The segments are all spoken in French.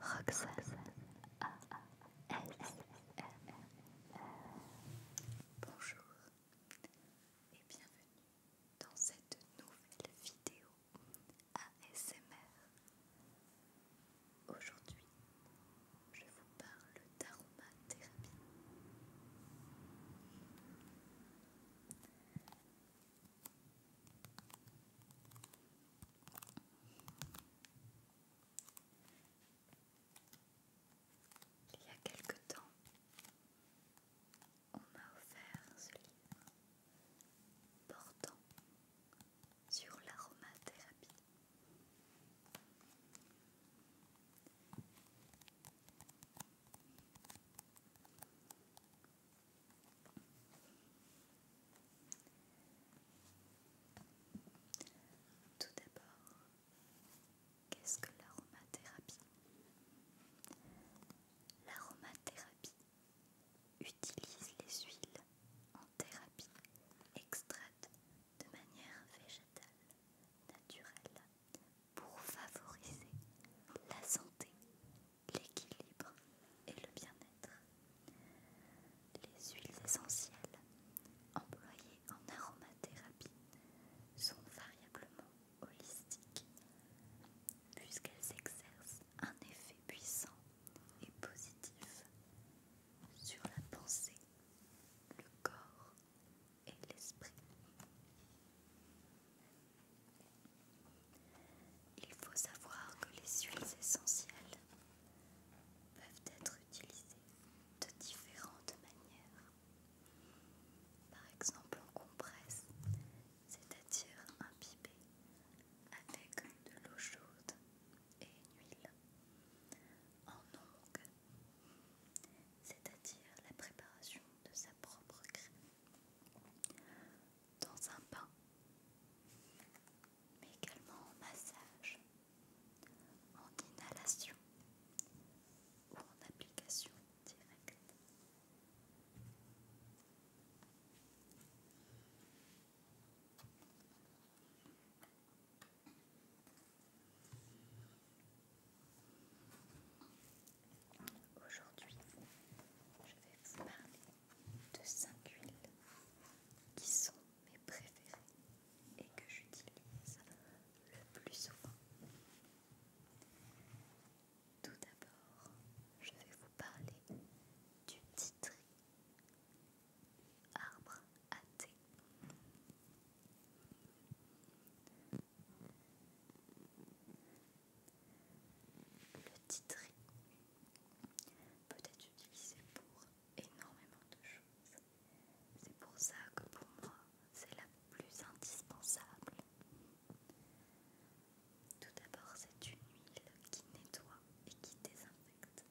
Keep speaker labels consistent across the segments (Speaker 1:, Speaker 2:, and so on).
Speaker 1: Roxane A Bonjour et bienvenue dans cette nouvelle vidéo ASMR. Aujourd'hui, je vous parle d'aromathérapie. Il y a quelque temps, on m'a offert ce livre portant sur l'aromathérapie. Tout d'abord, qu'est-ce que l'aromathérapie L'aromathérapie utilise les huiles en thérapie extraites de manière végétale, naturelle, pour favoriser la santé l'équilibre et le bien-être. Les huiles essentielles employées en aromathérapie sont variablement holistiques puisqu'elles exercent un effet puissant et positif sur la pensée, le corps et l'esprit. Il faut savoir que les huiles essentielles peuvent être utilisées de différentes manières. Par exemple, en compresse, c'est-à-dire pipé avec de l'eau chaude et une huile. En ongue, c'est-à-dire la préparation de sa propre crème dans un bain, mais également en massage, en inhalation ou en application directe. Aujourd'hui, je vais vous parler de 5 huiles qui sont mes préférées et que j'utilise le plus souvent. Tout d'abord, je vais vous parler du titri, arbre à thé le titré peut être utilisé pour énormément de choses. C'est pour ça que pour moi, c'est la plus indispensable. Tout d'abord, c'est une huile qui nettoie et qui désinfecte.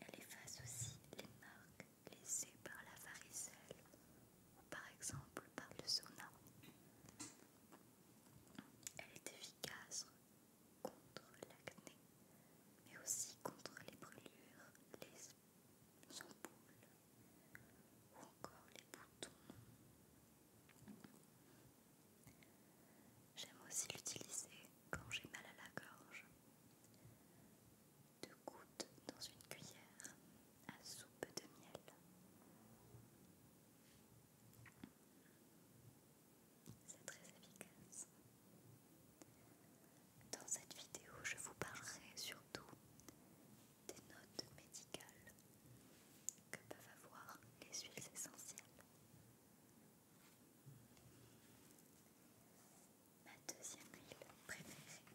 Speaker 1: Elle efface aussi les marques laissées par la varicelle par exemple par le sauna. Elle est efficace contre l'acné, mais aussi contre les brûlures, les ampoules ou encore les boutons. J'aime aussi l'utiliser quand j'ai mal à la gorge. Deux gouttes dans une cuillère à soupe de miel. C'est très efficace. Dans cette vidéo, je vous parlerai surtout des notes médicales que peuvent avoir les huiles essentielles. Ma deuxième huile préférée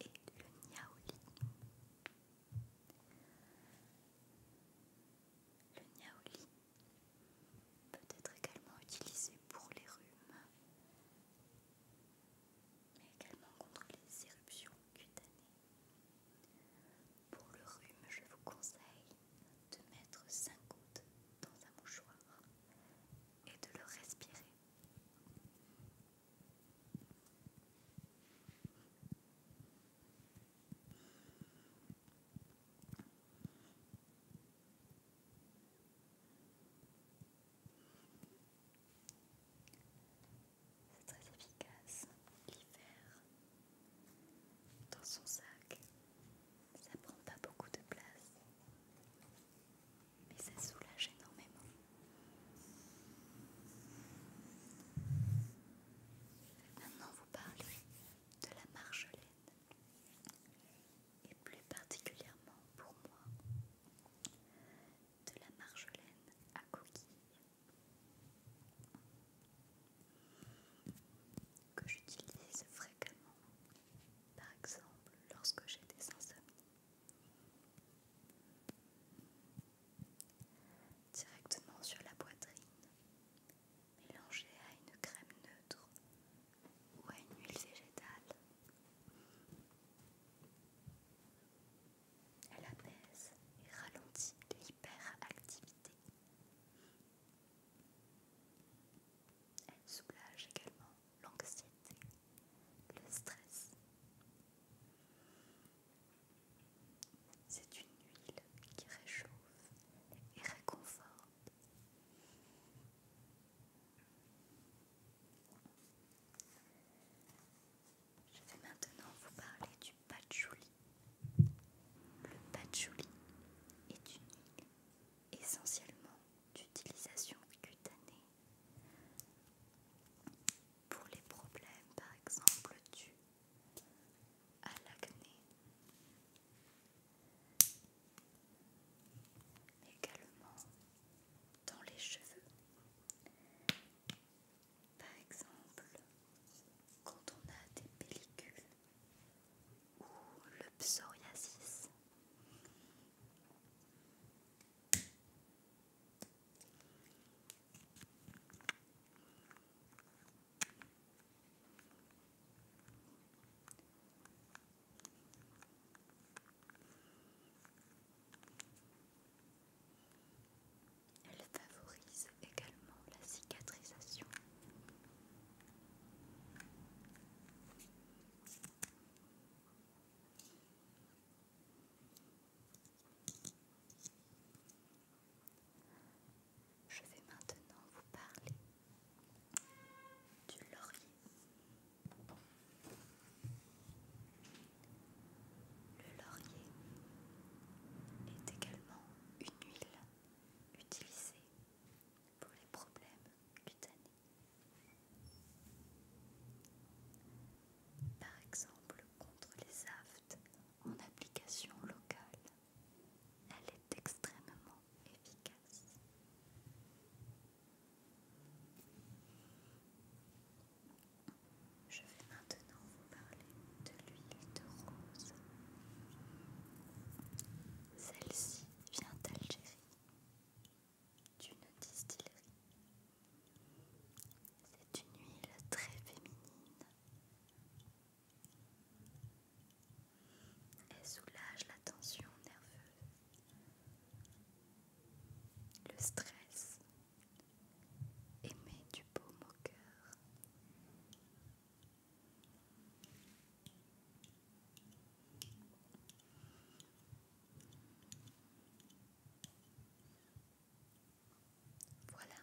Speaker 1: et le niaoli. Le niaoli peut être également utilisé pour les rhumes, mais également contre les éruptions cutanées. Pour le rhume, je vous conseille de mettre 5 gouttes dans un mouchoir et de le respirer. C'est très efficace. L'hiver, dans son sac, ça prend pas beaucoup de place mais ça soulage énormément. Maintenant, vous parlez de la marjolaine, et plus particulièrement pour moi, de la marjolaine à coquille que j'utilise fréquemment, par exemple lorsque j'ai des insomnies directement sur la poitrine, mélangée à une crème neutre ou à une huile végétale. Elle apaise et ralentit l'hyperactivité. Elle soulage également l'anxiété, le stress. C'est une huile qui réchauffe et réconforte. Je vais maintenant vous parler du patchouli. Le patchouli est une huile essentiellement d'utilisation cutanée pour les problèmes, par exemple, dus à l'acné, également dans les cheveux. Par exemple, quand on a des pellicules ou le psoriasis. Elle favorise également la cicatrisation. Je vais maintenant vous parler du laurier. Le laurier est également une huile utilisée pour les problèmes cutanés. Par exemple, contre les aftes en application locale, elle est extrêmement efficace. Je vais maintenant vous parler de l'huile de rose. Celle-ci vient d'Algérie d'une distillerie. C'est une huile très féminine. Elle soulage la tension nerveuse, le stress et met du beau au cœur. Voilà.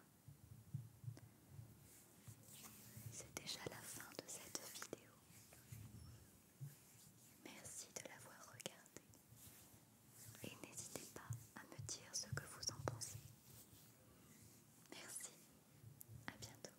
Speaker 1: C'est déjà la fin de cette vidéo. Merci de l'avoir regardée. Et n'hésitez pas à me dire ce que vous en pensez. Merci. À bientôt.